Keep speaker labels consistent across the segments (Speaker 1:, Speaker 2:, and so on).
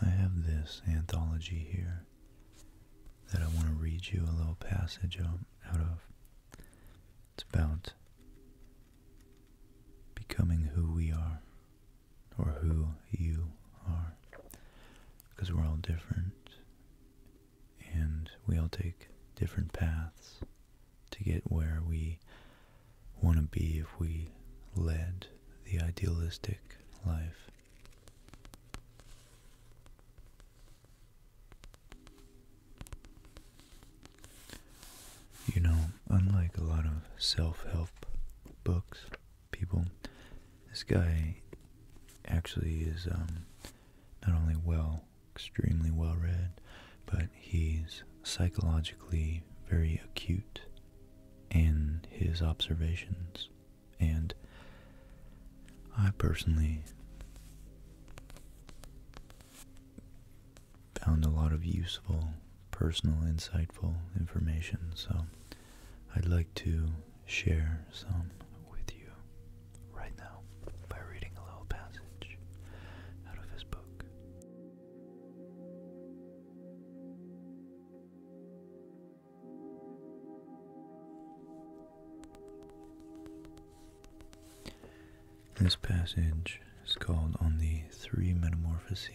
Speaker 1: I have this anthology here that I want to read you a little passage out of. It's about becoming who we are or who you are because we're all different and we all take different paths to get where we want to be if we led the idealistic life. You know, unlike a lot of self-help books, people, this guy actually is um, not only well, extremely well read, but he's psychologically very acute in his observations. And I personally found a lot of useful, personal, insightful information. So I'd like to share some with you right now by reading a little passage out of his book.
Speaker 2: This passage
Speaker 1: is called On the Three Metamorphoses.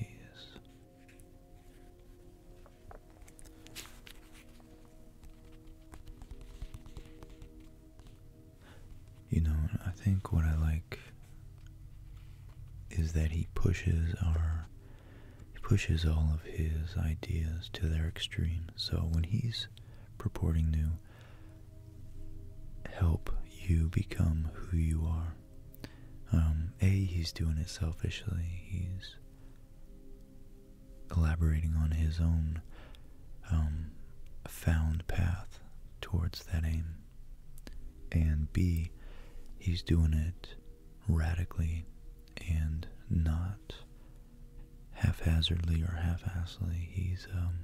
Speaker 1: You know, I think what I like is that he pushes our pushes all of his ideas to their extreme. So when he's purporting to help you become who you are, um, a he's doing it selfishly. He's elaborating on his own um, found path towards that aim. And B, he's doing it radically and not haphazardly or half-assedly. He's um,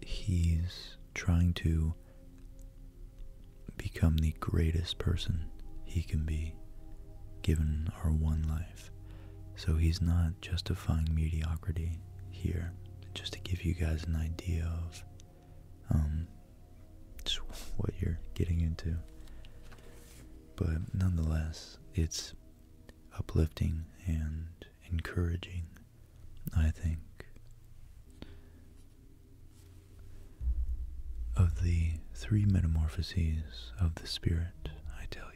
Speaker 1: he's trying to become the greatest person he can be given our one life. So he's not justifying mediocrity here. Just to give you guys an idea of um, what you're getting into. But nonetheless, it's uplifting and encouraging, I think. Of the three metamorphoses of the Spirit, I tell you.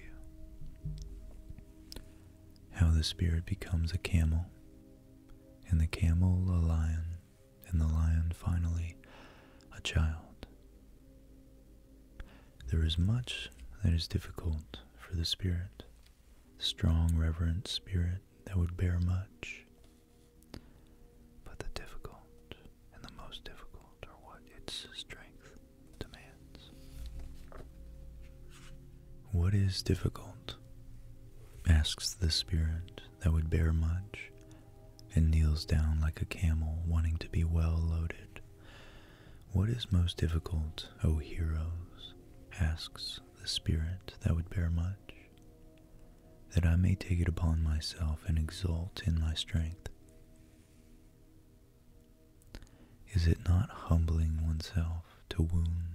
Speaker 1: How the spirit becomes a camel, and the camel a lion, and the lion finally a child. There is much that is difficult for the spirit, strong, reverent spirit that would bear much. But the difficult and the most difficult are what its strength what is difficult? asks the spirit that would bear much, and kneels down like a camel wanting to be well loaded. What is most difficult, O heroes? asks the spirit that would bear much. That I may take it upon myself and exult in my strength. Is it not humbling oneself to wound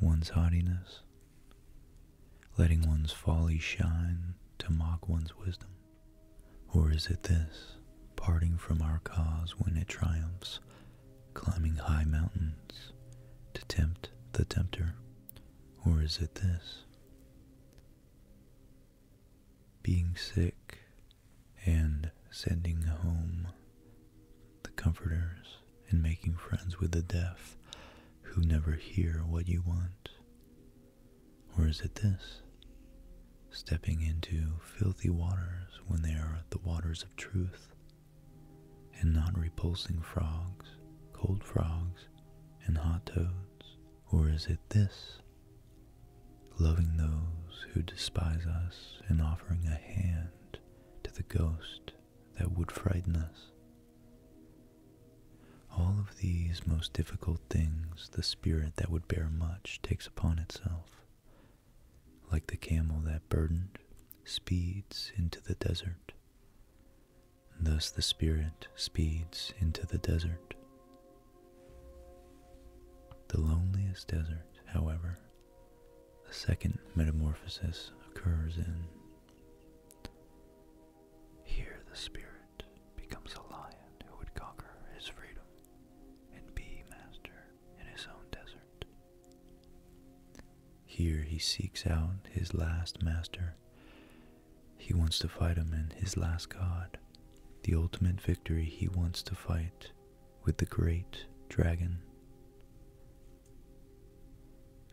Speaker 1: one's haughtiness, letting one's folly shine to mock one's wisdom? Or is it this, parting from our cause when it triumphs, climbing high mountains to tempt the tempter? Or is it this, being sick, and sending home the comforters and making friends with the deaf who never hear what you want? Or is it this? Stepping into filthy waters when they are the waters of truth, and not repulsing frogs, cold frogs, and hot toads? Or is it this? loving those who despise us and offering a hand to the ghost that would frighten us. All of these most difficult things the spirit that would bear much takes upon itself. Like the camel that burdened speeds into the desert. Thus the spirit speeds into the desert, the loneliest desert, however, a second metamorphosis occurs in. Here the spirit becomes a lion who would conquer his freedom and be master in his own desert. Here he seeks out his last master he wants to fight him in his last god. The ultimate victory he wants to fight with the great dragon.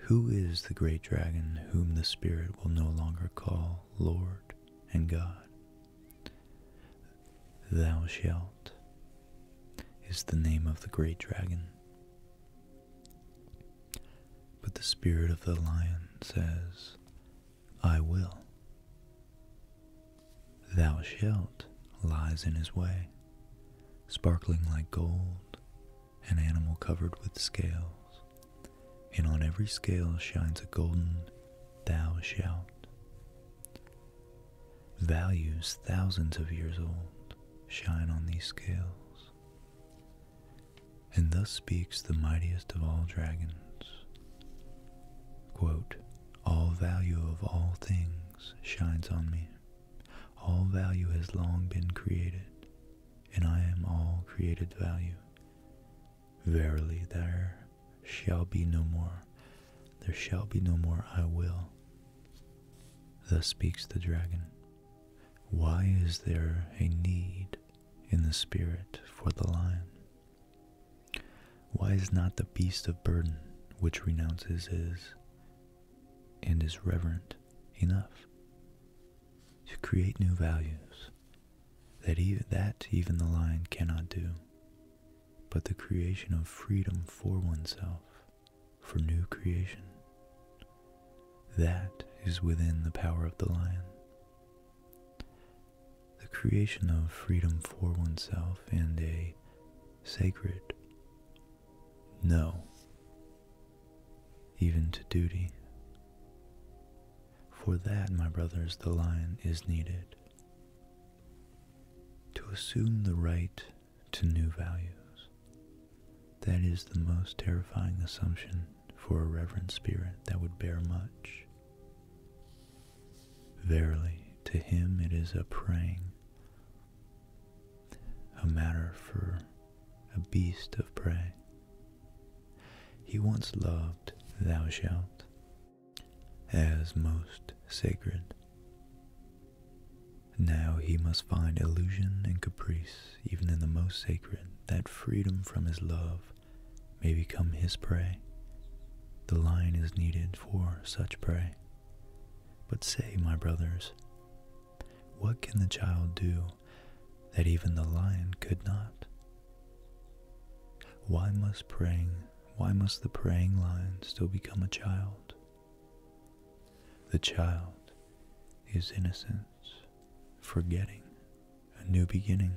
Speaker 1: Who is the great dragon whom the Spirit will no longer call Lord and God? Thou shalt is the name of the great dragon. But the spirit of the lion says, I will. Thou shalt lies in his way, sparkling like gold, an animal covered with scales, and on every scale shines a golden thou shalt. Values thousands of years old shine on these scales. And thus speaks the mightiest of all dragons, all value of all things shines on me. All value has long been created, and I am all created value. Verily there shall be no more. There shall be no more I will. Thus speaks the dragon. Why is there a need in the spirit for the lion? Why is not the beast of burden which renounces his and is reverent enough to create new values that even, that even the lion cannot do, but the creation of freedom for oneself, for new creation? That is within the power of the lion the creation of freedom for oneself and a sacred no, even to duty. For that, my brothers, the lion is needed. To assume the right to new values. That is the most terrifying assumption for a reverent spirit that would bear much Verily, to him it is a praying, a matter for a beast of prey. He once loved thou shalt as most sacred. Now he must find illusion and caprice, even in the most sacred, that freedom from his love may become his prey. The lion is needed for such prey. But say, my brothers, what can the child do that even the lion could not? Why must praying, why must the praying lion still become a child? The child is innocence, forgetting a new beginning,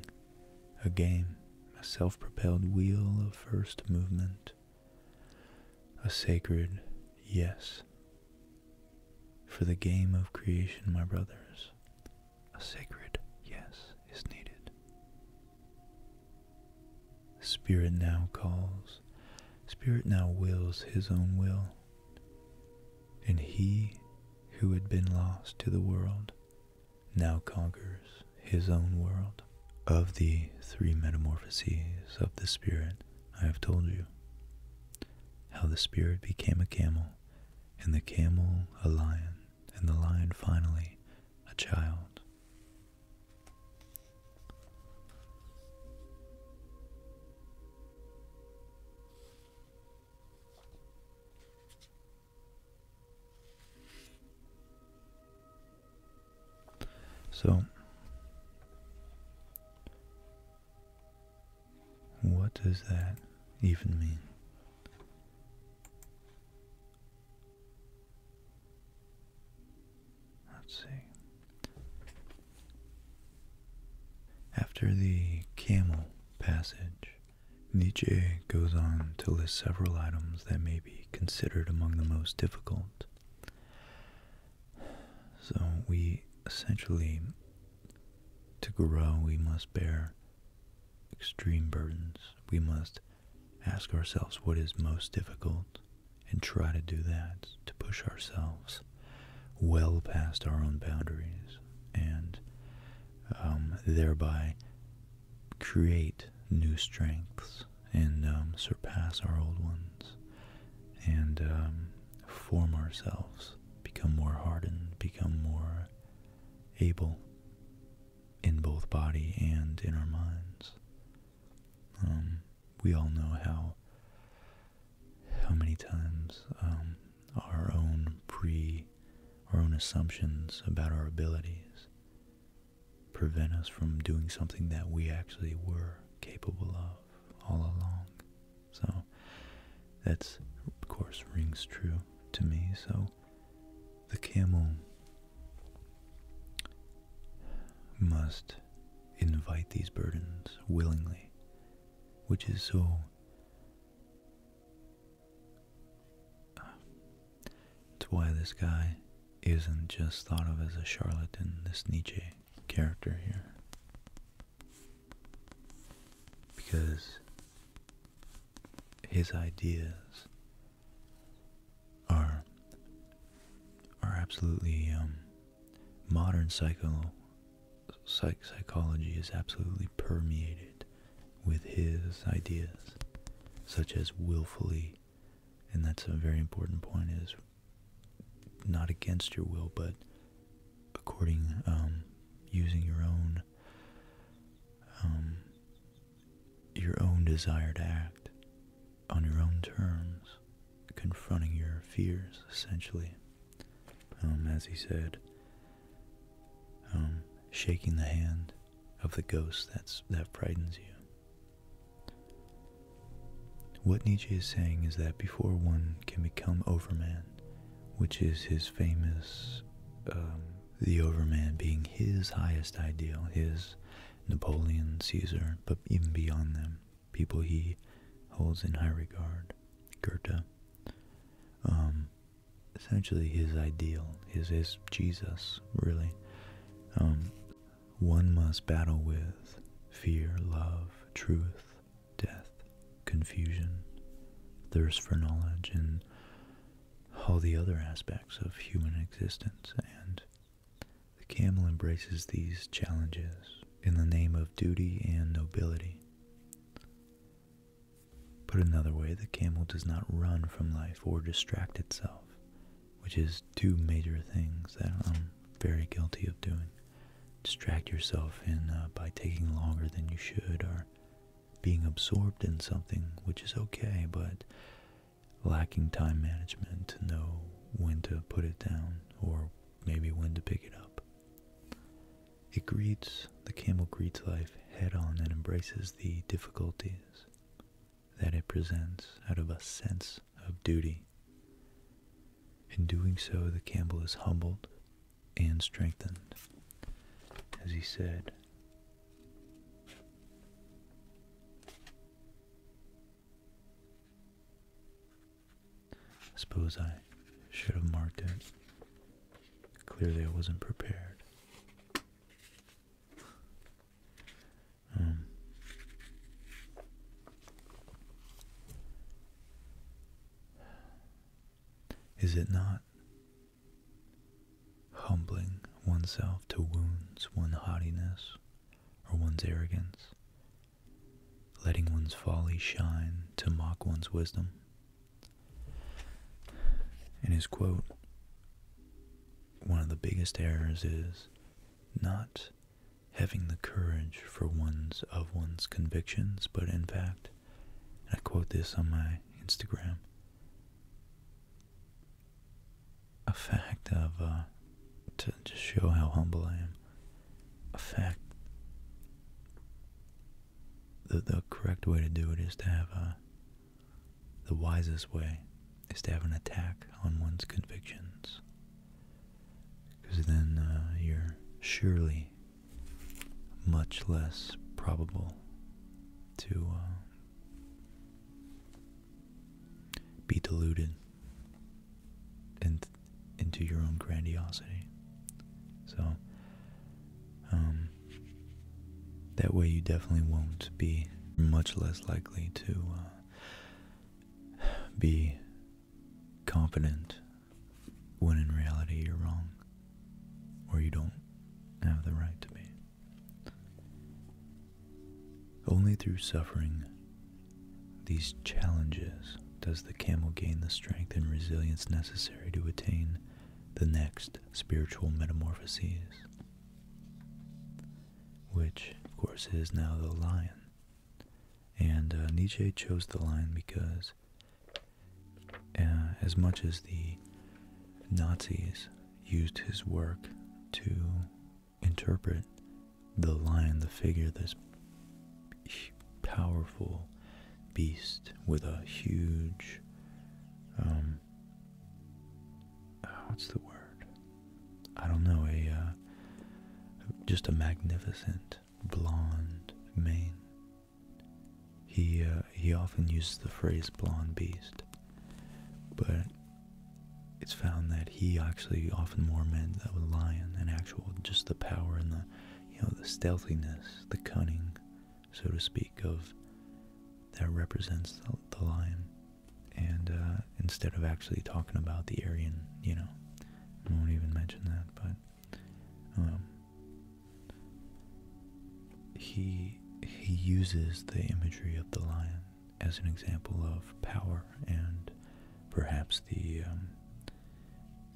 Speaker 1: a game, a self propelled wheel of first movement, a sacred yes. For the game of creation, my brothers,
Speaker 2: a sacred yes is needed. Spirit
Speaker 1: now calls, Spirit now wills his own will, and he who had been lost to the world now conquers his own world. Of the three metamorphoses of the spirit, I have told you how the spirit became a camel, and the camel a lion, and the lion finally a child. So, what does that even mean? Let's see. After the camel passage, Nietzsche goes on to list several items that may be considered among the most difficult. So we essentially, to grow, we must bear extreme burdens. We must ask ourselves what is most difficult and try to do that, to push ourselves well past our own boundaries and um, thereby create new strengths and um, surpass our old ones and um, form ourselves, become more hardened, become more able in both body and in our minds. Um, we all know how how many times our own pre, our own assumptions about our abilities prevent us from doing something that we actually were capable of all along. So that's, of course, rings true to me. So the camel must invite these burdens willingly, which is so uh, that's why this guy isn't just thought of as a charlatan, this Nietzsche character here. Because his ideas are are absolutely um, modern psycho psychology is absolutely permeated with his ideas, such as willfully, and that's a very important point, is not against your will, but according, um, using your own, um, your own desire to act on your own terms, confronting your fears, essentially. Um, as he said, um, shaking the hand of the ghost that's that frightens you. What Nietzsche is saying is that before one can become Overman, which is his famous, um, the Overman being his highest ideal, his Napoleon, Caesar, but even beyond them, people he holds in high regard, Goethe. Um, essentially his ideal, his, his Jesus, really. Um, one must battle with fear, love, truth, death, confusion, thirst for knowledge, and all the other aspects of human existence. And the camel embraces these challenges in the name of duty and nobility. Put another way, the camel does not run from life or distract itself, which is two major things that I'm very guilty of doing. Distract yourself in uh, by taking longer than you should or being absorbed in something, which is okay, but lacking time management to know when to put it down or maybe when to pick it up. It greets, the camel greets life head on and embraces the difficulties that it presents out of a sense of duty. In doing so, the camel is humbled and strengthened. As he said, I suppose I should have marked it. Clearly, I wasn't prepared. Um, is it not humbling oneself to wounds, one's haughtiness, or one's arrogance? Letting one's folly shine to mock one's wisdom? In his quote, one of the biggest errors is not having the courage for one's of one's convictions, but in fact, I quote this on my Instagram, a fact of uh, to just show how humble I am, a fact that the correct way to do it is to have a uh, the wisest way is to have an attack on one's
Speaker 2: convictions.
Speaker 1: Because then uh, you're surely much less probable to uh, be deluded into your own grandiosity. So um, that way, you definitely won't be much less likely to uh, be confident when in reality you're wrong or you don't have the right to be. Only through suffering these challenges does the camel gain the strength and resilience necessary to attain the next spiritual metamorphoses, which, of course, is now the lion. And uh, Nietzsche chose the lion because, uh, as much as the Nazis used his work to interpret the lion, the figure, this powerful beast with a huge um, uh, what's the word? I don't know. A uh, just a magnificent blonde mane. He uh, he often uses the phrase "blonde beast," but it's found that he actually often more meant a lion, an actual, just the power and the you know the stealthiness, the cunning, so to speak, of that represents the, lion. And uh, instead of actually talking about the Aryan, you know, I will even mention that, but um, he he uses the imagery of the lion as an example of power and perhaps the um,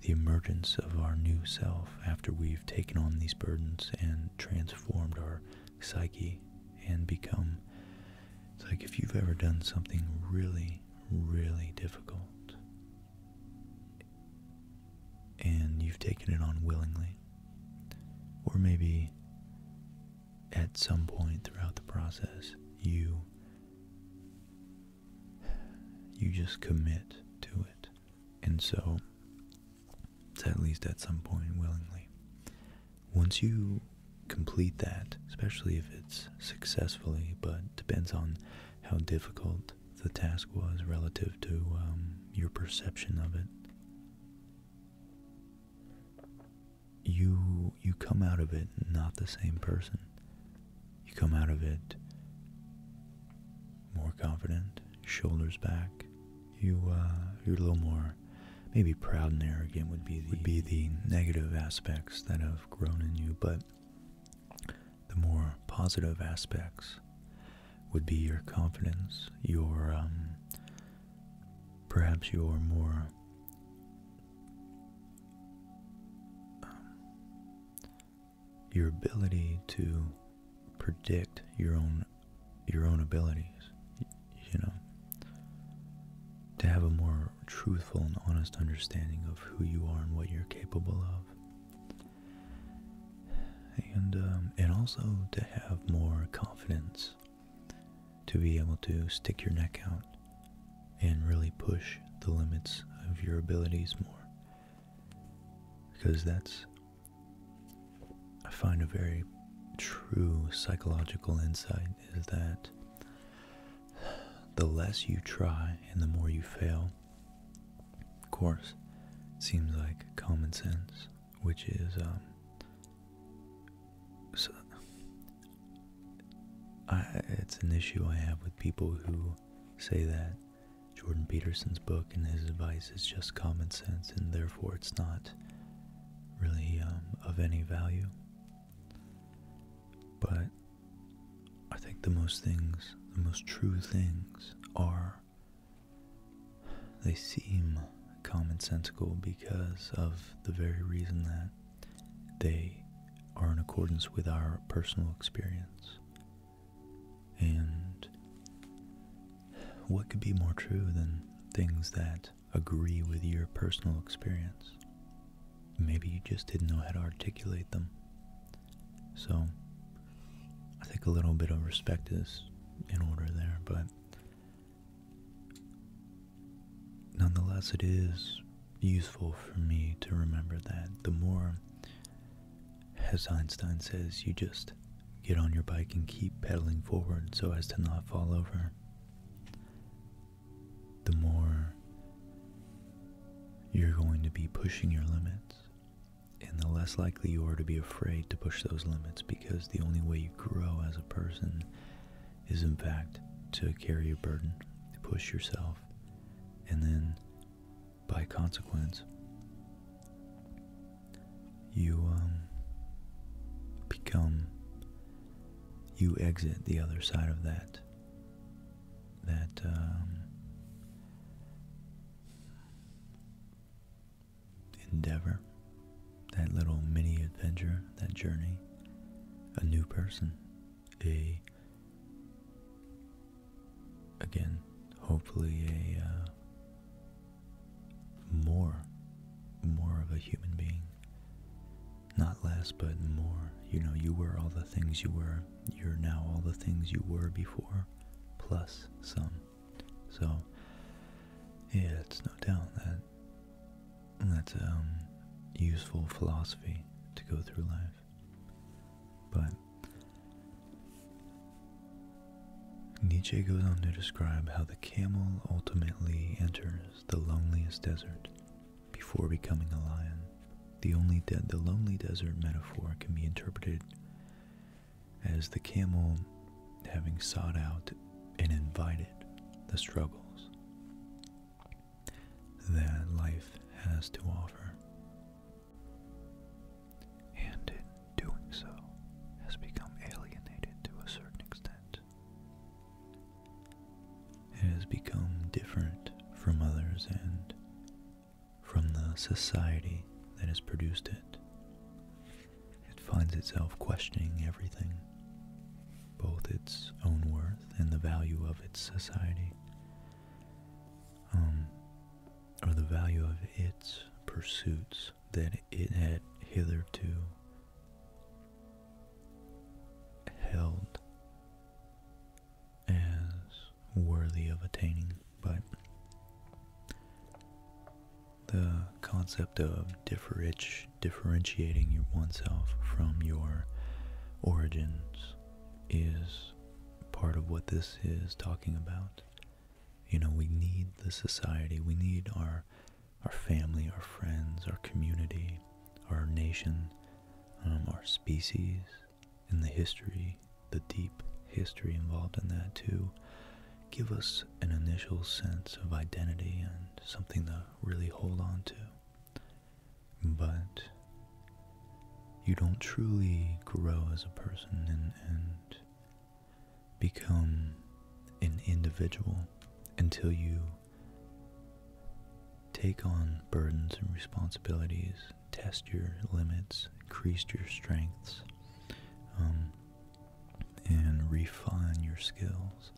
Speaker 1: the emergence of our new self after we've taken on these burdens and trans formed our psyche and become. It's like if you've ever done something really, really difficult and you've taken it on willingly, or maybe at some point throughout the process, you you just commit to it. And so at least at some point willingly. Once you complete that, especially if it's successfully, but depends on how difficult the task was relative to um, your perception of it. You you come out of it not the same person. You come out of it more confident, shoulders back, you uh, you're a little more maybe proud and arrogant would be the, would be the negative aspects that have grown in you, but the more positive aspects would be your confidence, your um, perhaps your more um, your ability to predict your own your own abilities you know to have a more truthful and honest understanding of who you are and what you're capable of and um, and also to have more confidence to be able to stick your neck out and really push the limits of your abilities more because that's I find a very true psychological insight is that the less you try and the more you fail, of course, seems like common sense, which is, um, so it's an issue I have with people who say that Jordan Peterson's book and his advice is just common sense, and therefore it's not really um, of any value. But I think the most things, the most true things, are they seem commonsensical because of the very reason that they are in accordance with our personal experience. And what could be more true than things that agree with your personal experience? Maybe you just didn't know how to articulate them. So, I think a little bit of respect is in order there, but nonetheless, it is useful for me to remember that the more as Einstein says, you just get on your bike and keep pedaling forward so as to not fall over. The more you're going to be pushing your limits, and the less likely you are to be afraid to push those limits because the only way you grow as a person is, in fact, to carry a burden, to push yourself, and then by consequence, you um, become, you exit the other side of that, that, um, endeavor, that little mini adventure, that journey, a new person, a again, hopefully a uh, more, more of a human being. Not less, but more. You know, you were all the things you were. You're now all the things you were before, plus some. So, yeah, it's no doubt that that's a um, useful philosophy to go through life. But Nietzsche goes on to describe how the camel ultimately enters the loneliest desert before becoming a lion. The only the lonely desert metaphor can be interpreted as the camel having sought out and invited the struggles that life has to offer
Speaker 2: and in doing so has become alienated to a certain extent.
Speaker 1: It has become different from others and from the society that has produced it. It finds itself questioning everything, both its own worth and the value of its society, um, or the value of its pursuits. That it had hitherto held as worthy of attaining, but the concept of differentiating oneself from your origins is part of what this is talking about. You know, we need the society, we need our our family, our friends, our community, our nation, um, our species, and the history, the deep history involved in that too, give us an initial sense of identity and something to really hold on to. But you don't truly grow as a person and, and become an individual until you take on burdens and responsibilities, test your limits, increase your strengths, um, and refine your skills,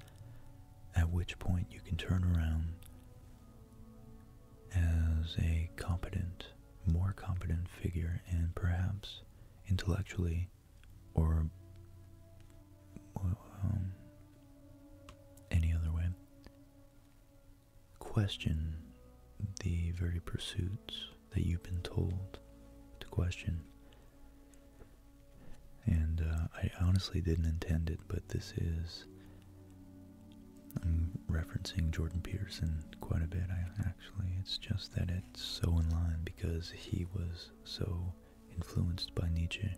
Speaker 1: at which point you can turn around as a competent more competent figure and perhaps intellectually or um, any other way question the very pursuits that you've been told to question and uh, I honestly didn't intend it but this is I'm referencing Jordan Peterson quite a bit, I actually. It's just that it's so in line because he was so influenced by Nietzsche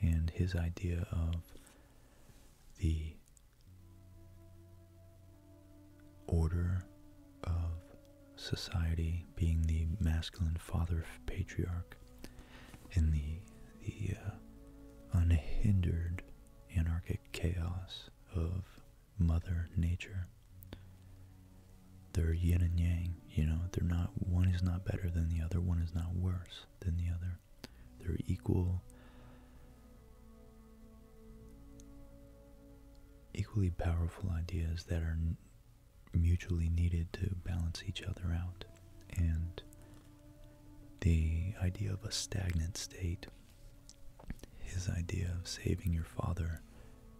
Speaker 1: and his idea of the order of society being the masculine father patriarch and the the uh, unhindered anarchic chaos of Mother Nature. They're yin and yang, you know, they're not, one is not better than the other, one is not worse than the other. They're equal, equally powerful ideas that are mutually needed to balance each other out. And the idea of a stagnant state his idea of saving your father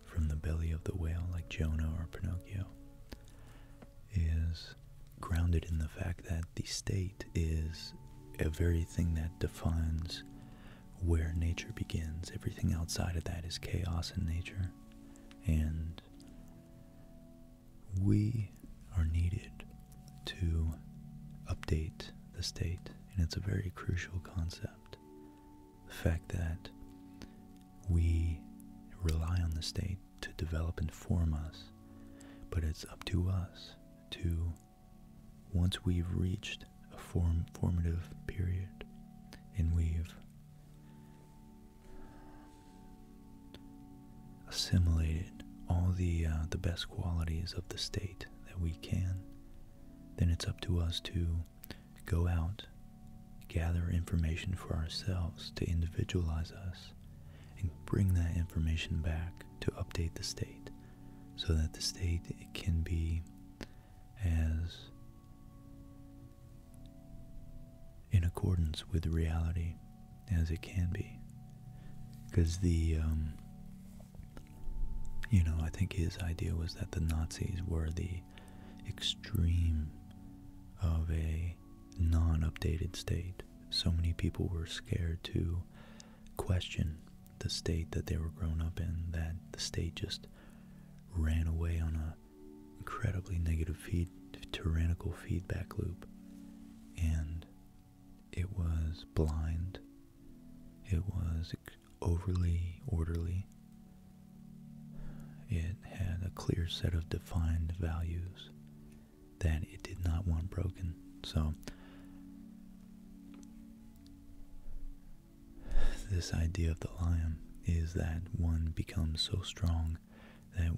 Speaker 1: from the belly of the whale, like Jonah or Pinocchio, is grounded in the fact that the state is a very thing that defines where nature begins. Everything outside of that is chaos in nature, and we are needed to update the state, and it's a very crucial concept. The fact that we rely on the state to develop and form us, but it's up to us to, once we've reached a formative period and we've assimilated all the uh, the best qualities of the state that we can then it's up to us to go out, gather information for ourselves to individualize us, and bring that information back to update the state so that the state can be as in accordance with reality as it can be. Because the um, you know, I think his idea was that the Nazis were the extreme of a non-updated state. So many people were scared to question the state that they were grown up in that the state just ran away on a incredibly negative feed, tyrannical feedback loop and it was blind it was overly orderly. It had a clear set of defined values that it did not want broken. So, this idea of the lion is that one becomes so strong that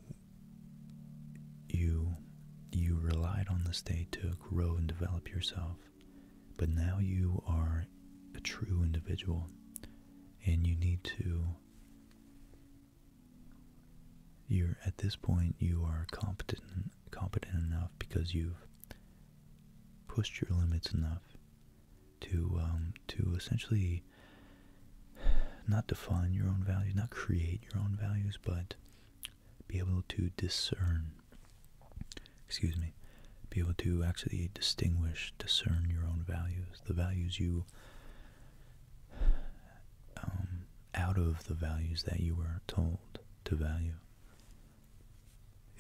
Speaker 1: you you relied on the state to grow and develop yourself but now you are a true individual and you need to. You're at this point, you are competent, competent enough because you've pushed your limits enough to um, to essentially not define your own values, not create your own values, but be able to discern excuse me, be able to actually distinguish, discern your own values, the values you, um, out of the values that you were told to value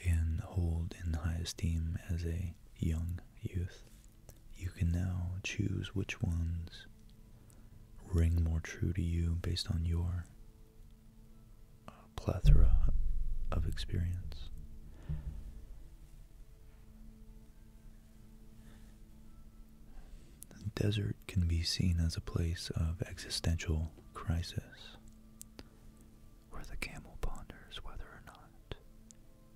Speaker 1: and hold in high esteem as a young youth. You can now choose which ones ring more true to you based on your uh, plethora of experience. The desert can be seen as a place of existential crisis
Speaker 2: where the camel ponders whether or not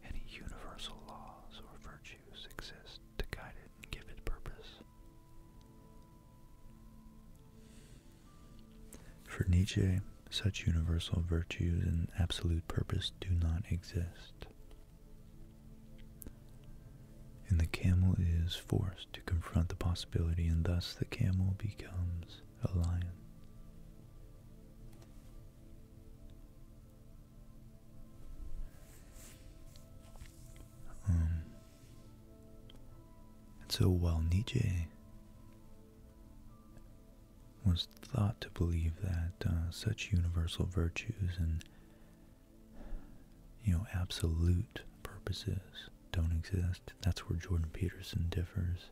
Speaker 2: any universal laws or virtues exist to guide it and give it purpose.
Speaker 1: For Nietzsche, such universal virtues and absolute purpose do not exist. And the camel is forced to confront the possibility, and thus the camel becomes a lion. Um, and so while Nietzsche was thought to believe that uh, such universal virtues and you know absolute purposes don't exist. That's where Jordan Peterson differs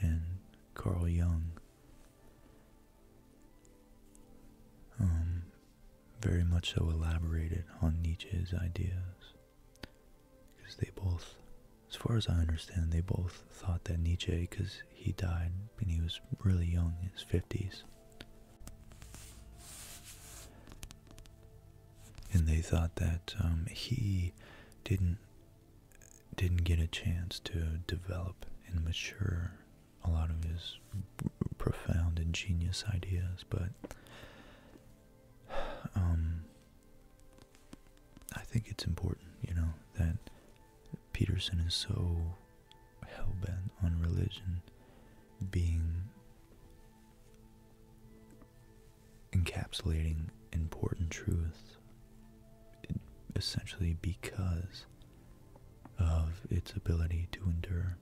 Speaker 1: and Carl Jung. Um, very much so elaborated on Nietzsche's ideas because they both, as far as I understand, they both thought that Nietzsche, because he died when he was really young, in his 50s, and they thought that um, he didn't didn't get a chance to develop and mature a lot of his profound and genius ideas, but um, I think it's important, you know, that Peterson is so hell bent on religion being encapsulating important truths essentially because of its ability to endure.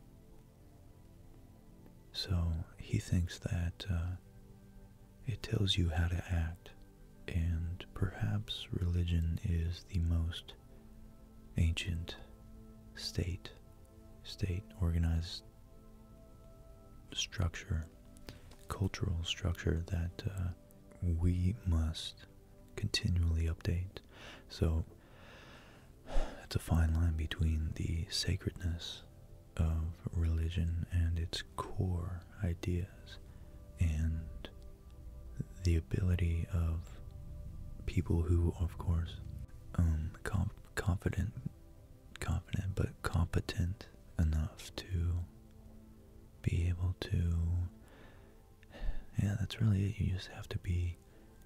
Speaker 1: So he thinks that uh, it tells you how to act, and perhaps religion is the most ancient state, state organized structure, cultural structure that uh, we must continually update. So it's a fine line between the sacredness of religion and its core ideas and the ability of people who, of course, um, confident, confident, but competent enough to be able to. Yeah, that's really it. You just have to be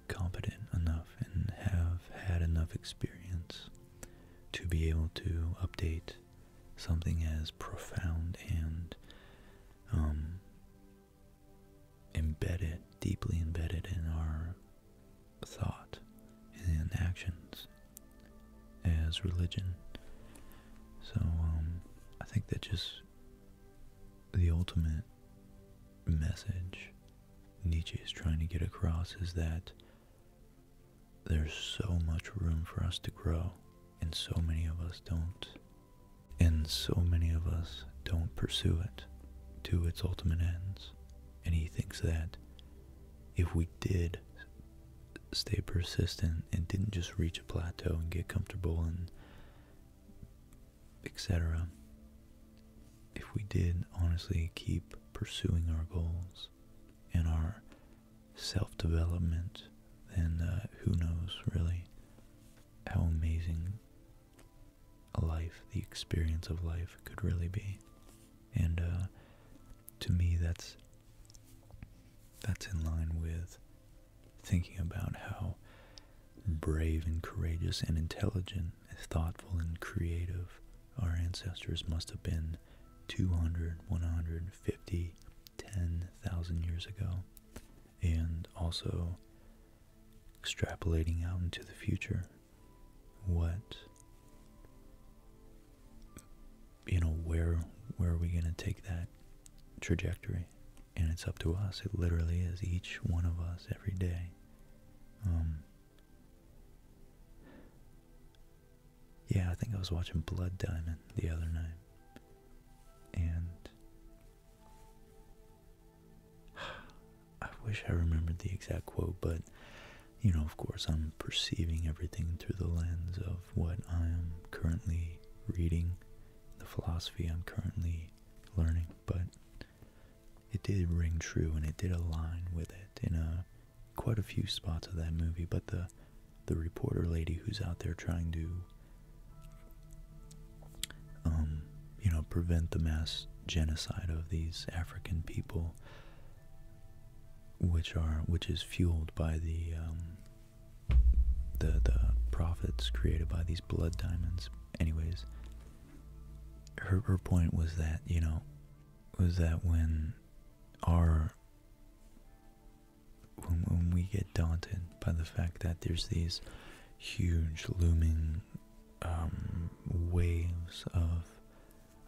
Speaker 1: competent enough and have had enough experience to be able to update something as profound and um, embedded, deeply embedded in our thought and actions as religion. So um, I think that just the ultimate message Nietzsche is trying to get across is that there's so much room for us to grow, and so many of us don't. And so many of us don't pursue it to its ultimate ends. And he thinks that if we did stay persistent and didn't just reach a plateau and get comfortable and etc. If we did honestly keep pursuing our goals in our self development, and uh, who knows really how amazing a life, the experience of life, could really be. And uh, to me, that's that's in line with thinking about how brave and courageous and intelligent, and thoughtful and creative our ancestors must have been 200, 150, 10,000 years ago, and also extrapolating out into the future what you know where where are we going to take that trajectory and it's up to us it literally is each one of us every day um, yeah, I think I was watching Blood Diamond the other night. And I wish I remembered the exact quote, but you know, of course, I'm perceiving everything through the lens of what I am currently reading, the philosophy I'm currently learning, but it did ring true and it did align with it in a quite a few spots of that movie, but the the reporter lady who's out there trying to um, you know, prevent the mass genocide of these African people, which are which is fueled by the um, the the profits created by these blood diamonds. Anyways, her her point was that you know was that when are when, we get daunted by the fact that there's these huge looming um, waves of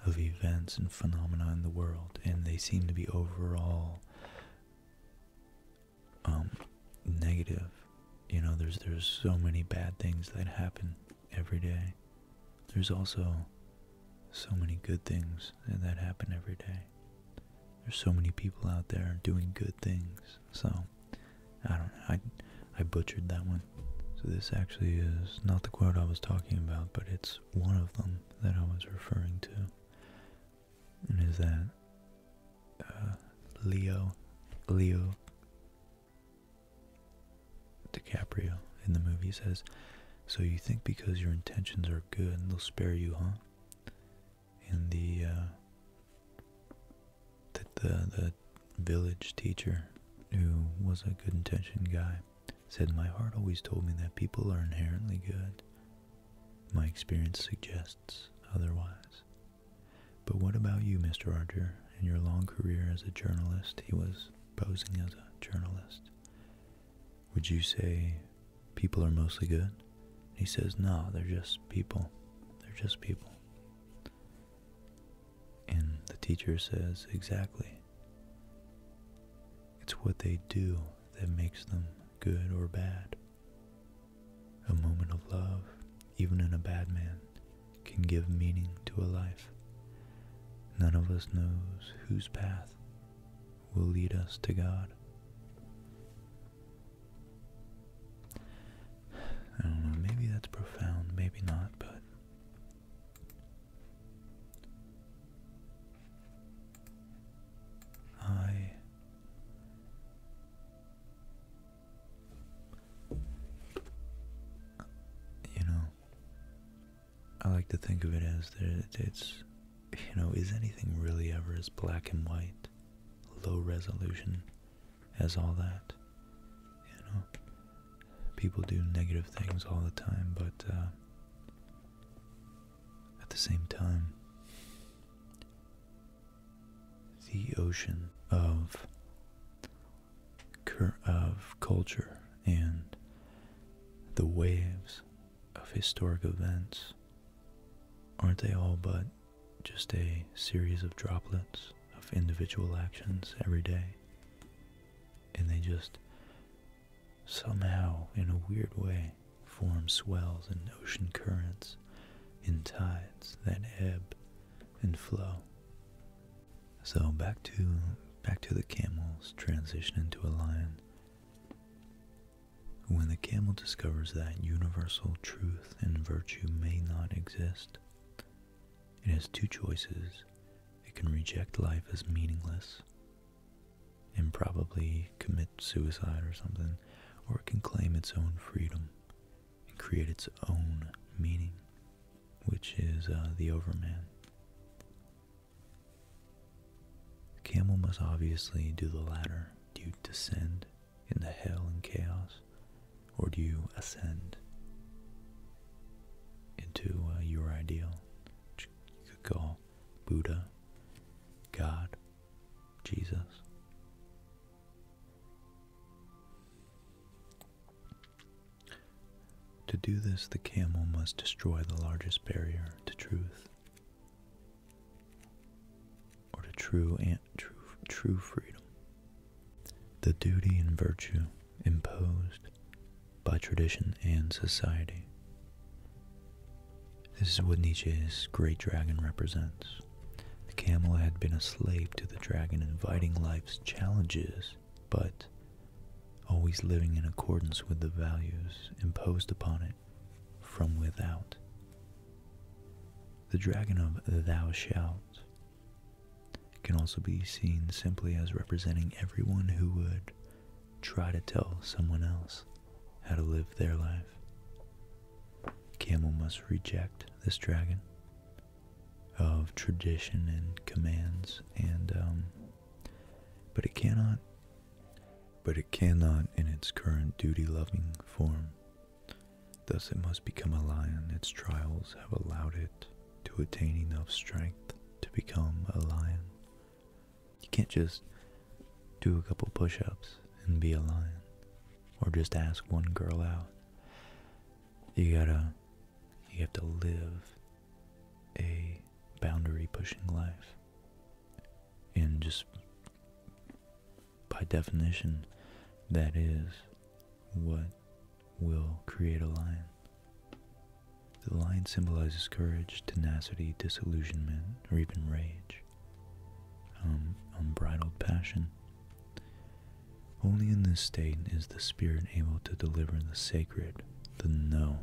Speaker 1: of events and phenomena in the world, and they seem to be overall um, negative. You know, there's there's so many bad things that happen every day, there's also so many good things that happen every day. There's so many people out there doing good things. So I don't I I butchered that one. So this actually is not the quote I was talking about, but it's one of them that I was referring to. And is that uh, Leo Leo DiCaprio in the movie says, So you think because your intentions are good, they'll spare you, huh? And the, uh, the, the, village teacher, who was a good intention guy, said, My heart always told me that people are inherently good. My experience suggests otherwise. But what about you, Mr. Archer? In your long career as a journalist, he was posing as a journalist. Would you say people are mostly good? He says, No, they're just people. They're just people. And the teacher says, Exactly. It's what they do that makes them good or bad. A moment of love, even in a bad man, can give meaning to a life. None of us knows whose path will lead us to God. I don't know, maybe that's profound, maybe not, but I you know I like to think of it as that it's, you know, is anything really ever as black and white, low resolution as all that? You know, people do negative things all the time, but uh, at the same time, the ocean of of culture and the waves of historic events, aren't they all but just a series of droplets of individual actions every day? And they just somehow, in a weird way, form swells and ocean currents and tides that ebb and flow so back to back to the camel's transition into a lion. When the camel discovers that universal truth and virtue may not exist, it has two choices. It can reject life as meaningless and probably commit suicide or something, or it can claim its own freedom and create its own meaning, which is uh, the overman. The camel must obviously do the latter. Do you descend into hell and chaos, or do you ascend into uh, your ideal, which you could call Buddha, God, Jesus? To do this, the camel must destroy the largest barrier to truth or to true and true, true freedom. The duty and virtue imposed by tradition and society. This is what Nietzsche's great dragon represents. The camel had been a slave to the dragon, inviting life's challenges but always living in accordance with the values imposed upon it from without. The dragon of thou shalt can also be seen simply as representing everyone who would try to tell someone else how to live their life. Camel must reject this dragon of tradition and commands and um, but it cannot, but it cannot in its current duty-loving form. Thus it must become a lion. Its trials have allowed it to attain enough strength to become a lion. You can't just do a couple push-ups and be a lion, or just ask one girl out. You gotta, you have to live a boundary pushing life. And just by definition, that is what will create a lion. The lion symbolizes courage, tenacity, disillusionment, or even rage, um, unbridled passion. Only in this state is the spirit able to deliver the sacred the no.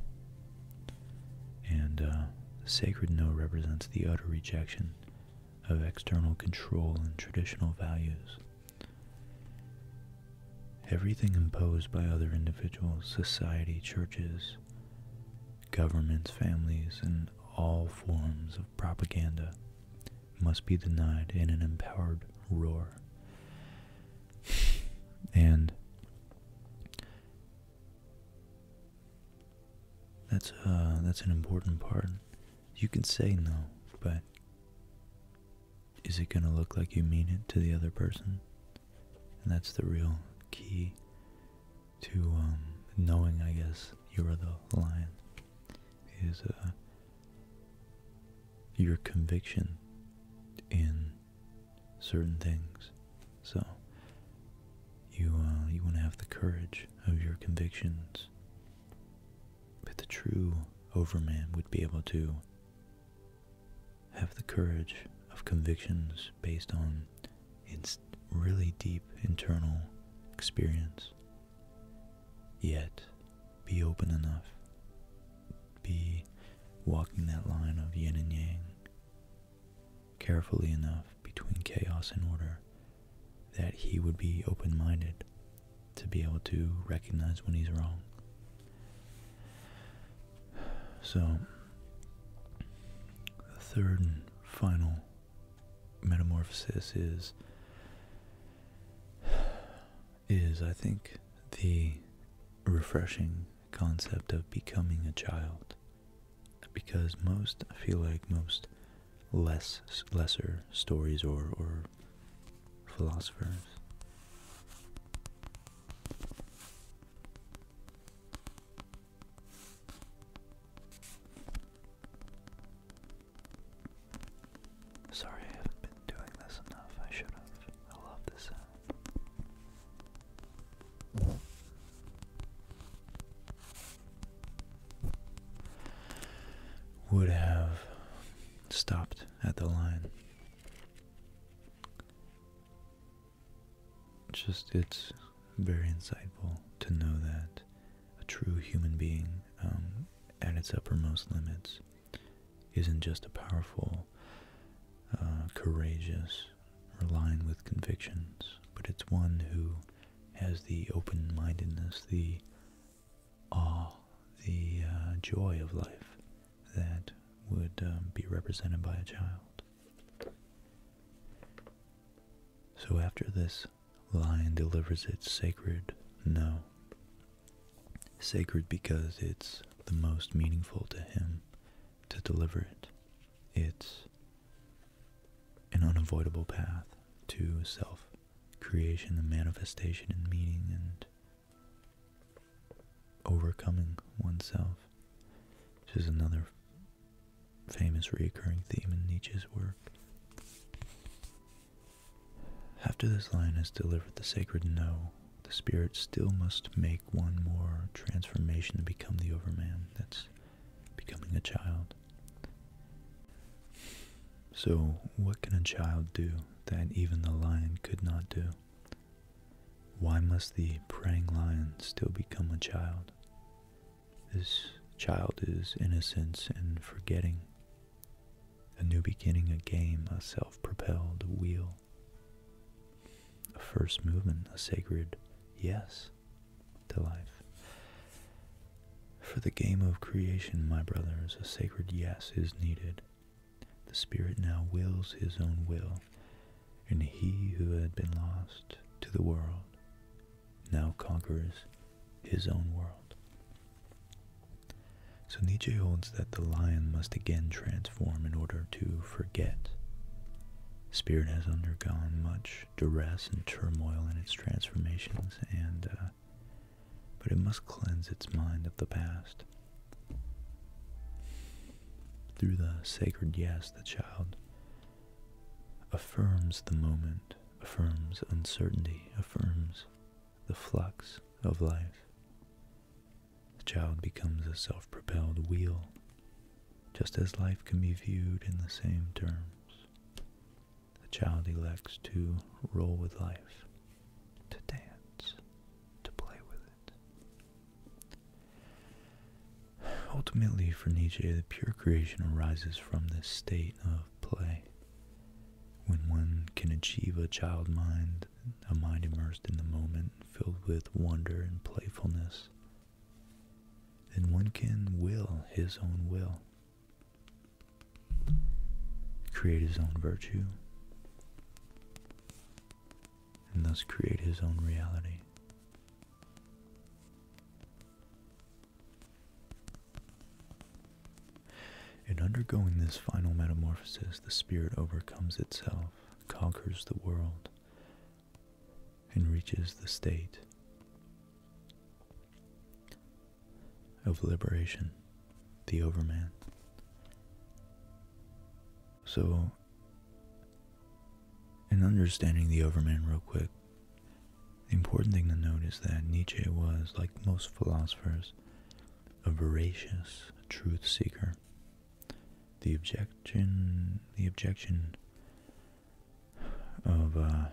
Speaker 1: And uh, the sacred no represents the utter rejection of external control and traditional values. Everything imposed by other individuals, society, churches, governments, families, and all forms of propaganda must be denied in an empowered roar and that's uh, that's an important part. You can say no, but is it going to look like you mean it to the other person? And that's the real key to um, knowing, I guess, you are the lion. Is uh, your conviction in certain things. So you uh, you want to have the courage of your convictions. But the true overman would be able to have the courage of convictions based on its really deep internal experience, yet be open enough be walking that line of yin and yang carefully enough between chaos and order that he would be open minded to be able to recognize when he's wrong. So, the third and final metamorphosis is is, I think, the refreshing concept of becoming a child. Because most, I feel like most less lesser stories or, or philosophers
Speaker 2: Sorry, doing this enough. I should have. I love this
Speaker 1: Would have stopped at the line. Just, it's very insightful to know that a true human being, um, at its uppermost limits, isn't just a powerful, uh, courageous, relying with convictions, but it's one who has the open-mindedness, the awe, the uh, joy of life that would um, be represented by a child. So after this lion delivers its sacred no, Sacred because it's the most meaningful to him to deliver it. It's an unavoidable path to self creation and manifestation and meaning and overcoming oneself, which is another famous recurring theme in Nietzsche's work. After this line has delivered the sacred no the spirit still must make one more transformation to become the overman. That's becoming a child. So, what can a child do that even the lion could not do? Why must the praying lion still become a child? This child is innocence and forgetting. A new beginning, a game, a self propelled wheel a first movement, a sacred yes to life. For the game of creation, my brothers, a sacred yes is needed. The Spirit now wills his own will, and he who had been lost to the world now conquers his own world. So Nietzsche holds that the lion must again transform in order to forget. Spirit has undergone much duress and turmoil in its transformations, and uh, but it must cleanse its mind of the past. Through the sacred yes, the child affirms the moment, affirms uncertainty, affirms the flux of life. The child becomes a self propelled wheel, just as life can be viewed in the same terms. The child elects to roll with life, to dance, to play with it. Ultimately, for Nietzsche, the pure creation arises from this state of play. When one can achieve a child mind a mind immersed in the moment, filled with wonder and playfulness, then one can will his own will, create his own virtue, and thus create his own reality. In undergoing this final metamorphosis, the spirit overcomes itself conquers the world and reaches the state of liberation, the Overman. So, in understanding the Overman, real quick, the important thing to note is that Nietzsche was, like most philosophers, a voracious truth seeker the objection the objection of uh,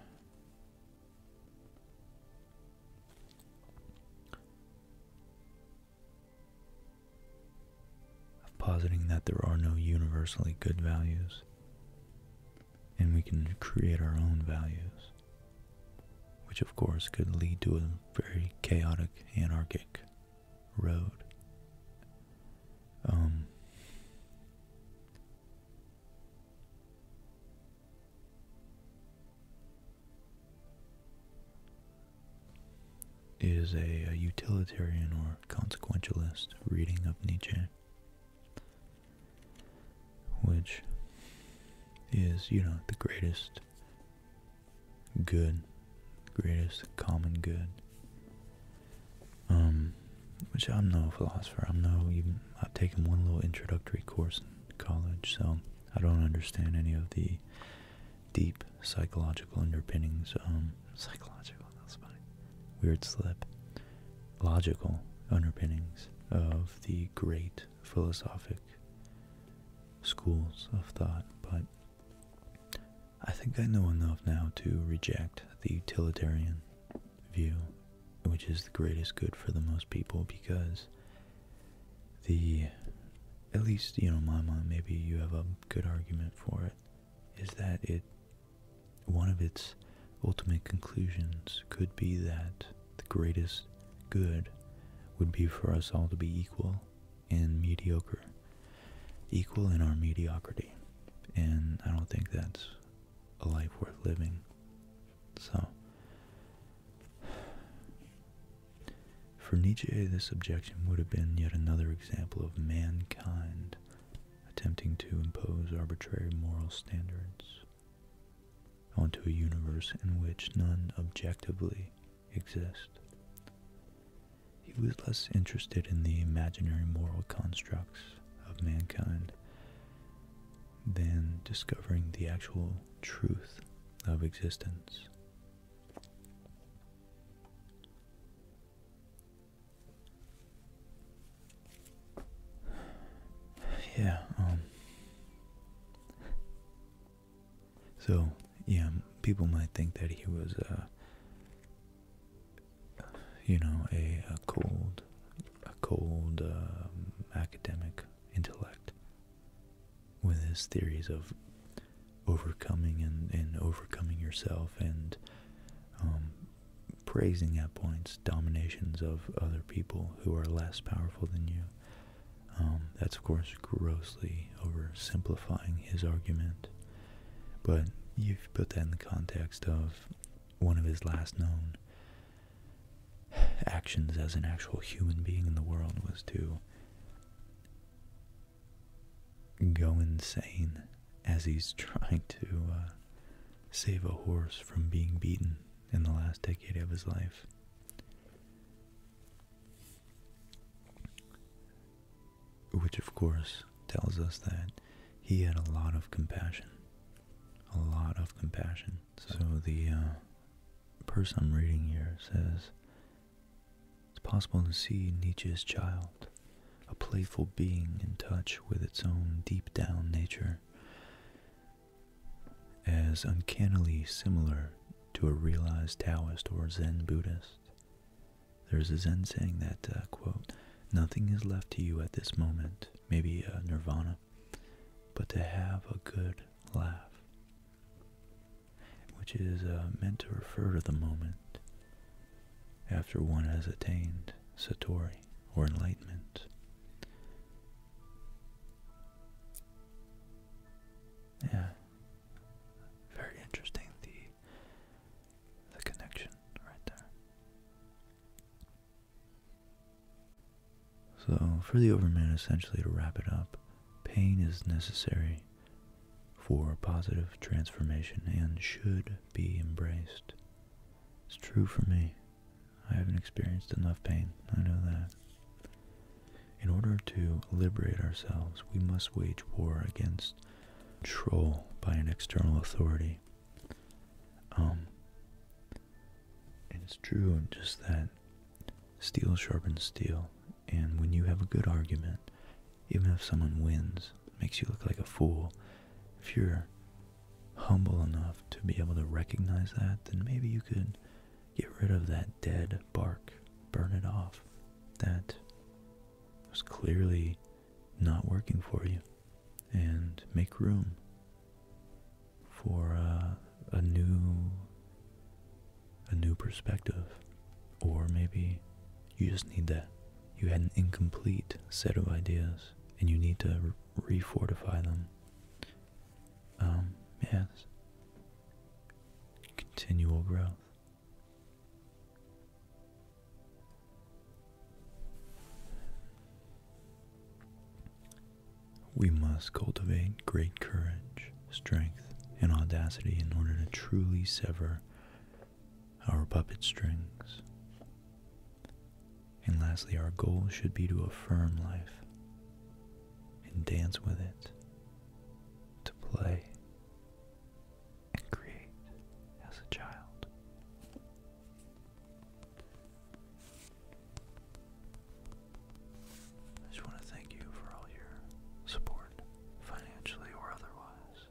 Speaker 1: of positing that there are no universally good values and we can create our own values which of course could lead to a very chaotic anarchic road. Um, is a utilitarian or consequentialist reading of Nietzsche, which is, you know, the greatest good, greatest common good. Um, which I'm no philosopher. I'm no even. I've taken one little introductory course in college, so I don't understand any of the deep psychological underpinnings. Um, psychological. That's funny. Weird slip. Logical underpinnings of the great philosophic schools of thought, but I think I know enough now to reject the utilitarian view, which is the greatest good for the most people because the, at least, you know, my mind, maybe you have a good argument for it, is that it, one of its ultimate conclusions could be that the greatest good would be for us all to be equal and mediocre, equal in our mediocrity. And I don't think that's a life worth living. So, for Nietzsche, this objection would have been yet another example of mankind attempting to impose arbitrary moral standards onto a universe in which none objectively exist. He was less interested in the imaginary moral constructs of mankind than discovering the actual truth of existence. Yeah, um, so, yeah, people might think that he was, uh, you know, a, cold, a cold um, academic intellect with his theories of overcoming and, overcoming yourself and um, praising at points dominations of other people who are less powerful than you um, that's, of course, grossly oversimplifying his argument, but you've put that in the context of one of his last known actions as an actual human being in the world was to go insane as he's trying to uh, save a horse from being beaten in the last decade of his life. Which, of course, tells us that he had a lot of compassion. A lot of compassion. So, the uh, person I'm reading here says it's possible to see Nietzsche's child, a playful being in touch with its own deep down nature, as uncannily similar to a realized Taoist or Zen Buddhist. There's a Zen saying that, uh, quote, nothing is left to you at this moment, maybe uh, nirvana, but to have a good laugh, which is uh, meant to refer to the moment after one has attained satori or enlightenment. Yeah, very interesting the the connection right there. So for the overman essentially to wrap it up, pain is necessary for positive transformation and should be embraced. It's true for me. I haven't experienced enough pain. I know that. In order to liberate ourselves, we must wage war against control by an external authority. Um, it's true just that steel sharpens steel, and when you have a good argument, even if someone wins, makes you look like a fool, if you're humble enough to be able to recognize that, then maybe you could Get rid of that dead bark, burn it off. That was clearly not working for you, and make room for uh, a new a new perspective, or maybe you just need that. You had an incomplete set of ideas, and you need to refortify them. Um, yes, continual growth. We must cultivate great courage, strength, and audacity in order to truly sever our puppet strings. And lastly, our goal should be to affirm life, and dance with it, to play and create as a child.
Speaker 2: I just want to thank you for all your support, financially or otherwise,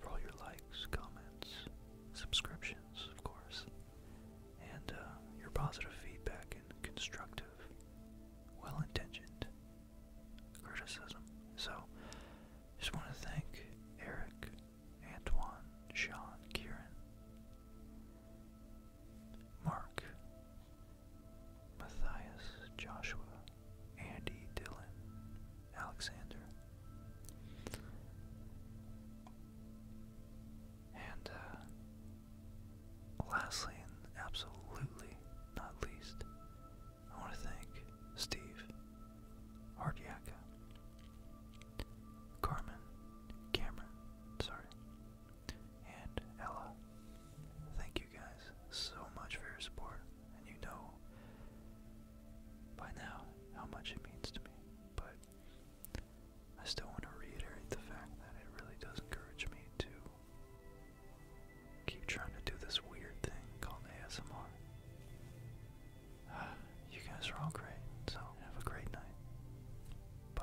Speaker 2: for all your likes, comments, subscriptions, of course, and uh, your positive feedback and constructive, well intentioned criticism. So, just want to thank Eric, Antoine, Sean, Kieran, Mark, Matthias, Joshua, Andy, Dylan, Alexander. And uh, lastly, and absolutely not least, I want to thank Steve, Hardyaka, Carmen, Cameron, sorry, and Ella. Thank you guys so much for your support, and you know by now how much it means to me, but I still want to reiterate the fact that it really does encourage me to keep trying to do this weird thing called ASMR. Uh, you guys are all great, so have a great night. Bye.